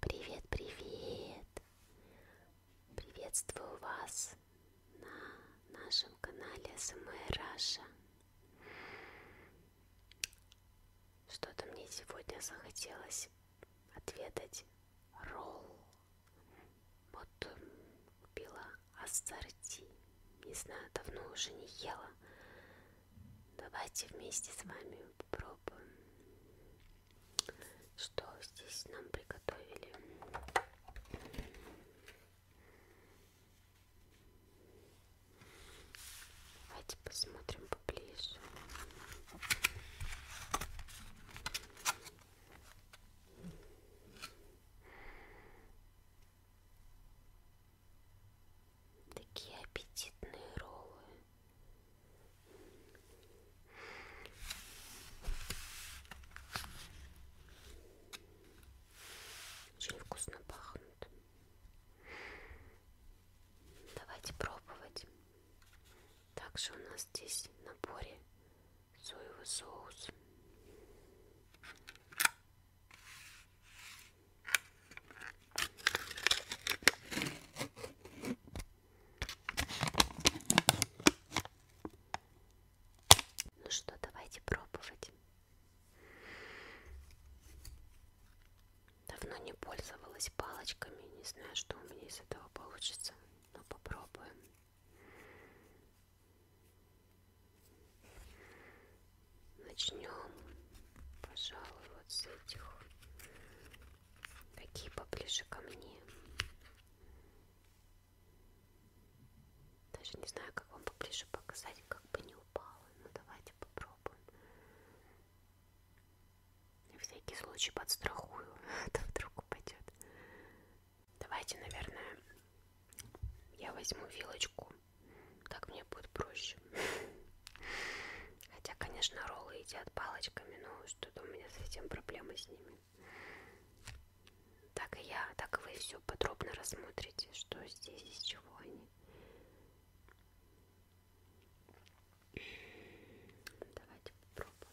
Привет, привет! Приветствую вас на нашем канале СМР Раша. Что-то мне сегодня захотелось отведать ролл вот купила ассорти. Не знаю, давно уже не ела. Давайте вместе с вами попробуем. Что здесь нам приготовили? Давайте посмотрим поближе. Такие аппетитные роллы. Очень вкусно пахнут. Давайте пробовать. Также у нас здесь в наборе соевый соус. Ну что, давайте пробовать. Давно не пользовалась палочками, не знаю, что у меня из этого получится, но попробуем. Начнем, пожалуй, вот с этих. Какие поближе ко мне. Даже не знаю, как вам поближе показать, как бы не упало. Но давайте попробуем. На всякий случай подстрахую, а то вдруг упадет. Давайте, наверное, я возьму вилочку. Так мне будет проще. Хотя, конечно, роллы едят палочками, но что-то у меня совсем проблемы с ними. Так и я, так и вы все подробно рассмотрите, что здесь, из чего они. Давайте попробуем.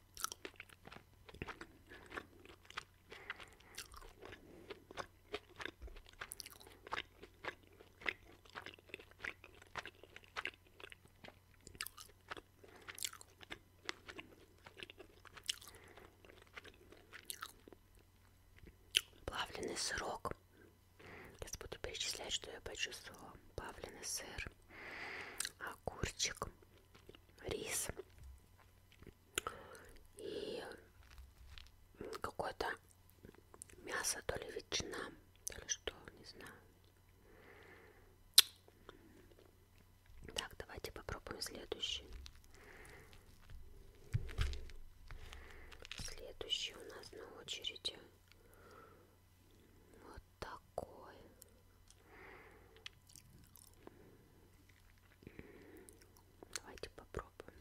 Плавленый сырок. Сейчас буду перечислять, что я почувствовала. Плавленый сыр, огурчик, рис и какое-то мясо, то ли ветчина, то ли что, не знаю. Так, давайте попробуем следующий. Следующий у нас на очереди вот такой. Давайте попробуем.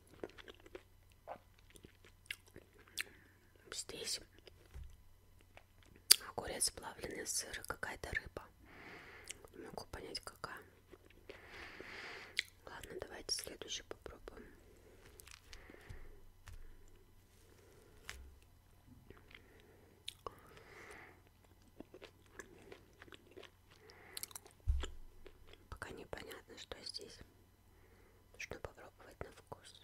Здесь огурец, плавленый сыр, какая-то рыба. Не могу понять, какая. Ладно, давайте следующий попробуем. Пока непонятно, что здесь. Нужно попробовать на вкус.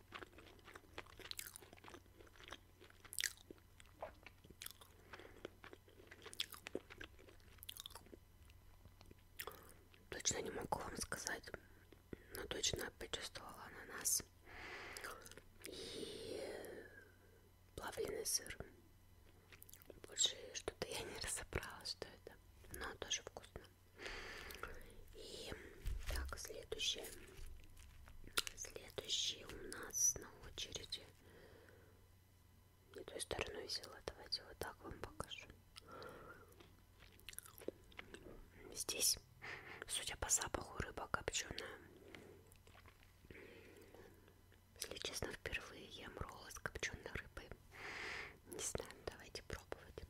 Точно не могу вам сказать, но точно почувствовала ананас и плавленый сыр. Больше что-то я не разобрала, что это, но тоже вкусно. И так, следующее. Следующий у нас на очереди. Не той стороной взяла. Давайте вот так вам покажу. Здесь, судя по запаху, рыба копченая. Если честно, впервые ем роллы с копченой рыбой. Не знаю, давайте пробовать.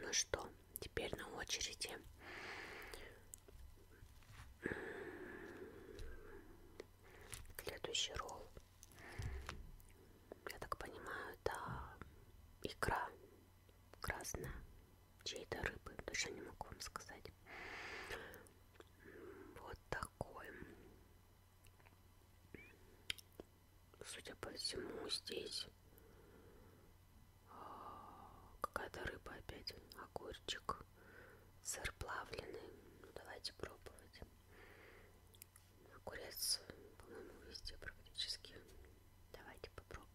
Ну что, теперь на очереди следующий ролл. Я так понимаю, это икра красная чьей-то рыбы. Точно не могу вам сказать. Вот такой. Судя по всему, здесь а, какая-то рыба опять, огурчик, сыр плавленый. Ну, давайте пробовать. Огурец, по-моему, везде практически. Давайте попробуем.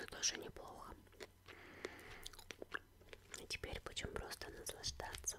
Но тоже неплохо. И теперь будем просто наслаждаться.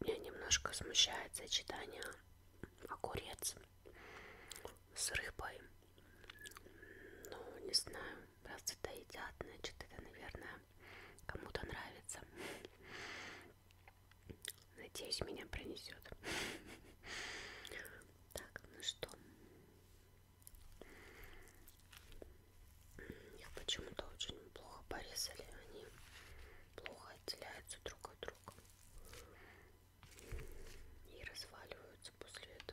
Меня немножко смущает сочетание огурец с рыбой. Ну, не знаю, раз это едят, значит, это, наверное, кому-то нравится. Надеюсь, меня пронесет. Так, ну что? Их почему-то очень плохо порезали. Они плохо отделяются друг от друга и разваливаются после этого.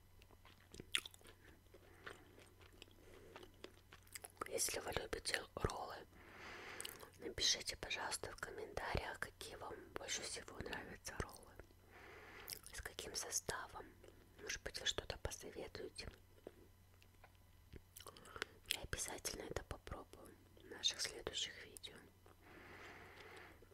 Если вы любите роллы, напишите, пожалуйста, в комментариях, какие вам больше всего нравятся роллы, с каким составом. Может быть, вы что-то посоветуете. Я обязательно это попробую в наших следующих видео.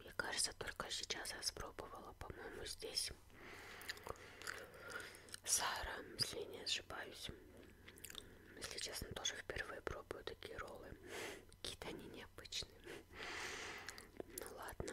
Мне кажется, только сейчас я спробовала, по-моему, здесь Сара, если не ошибаюсь. Если честно, тоже впервые пробую такие роллы. Какие-то они не необычный. Ну ладно.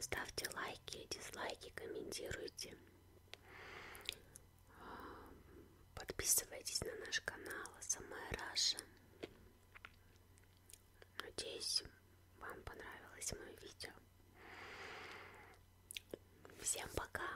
Ставьте лайки, дизлайки, комментируйте. А, подписывайтесь на наш канал Самая Раша. Надеюсь, вам понравилось мое видео. Всем пока.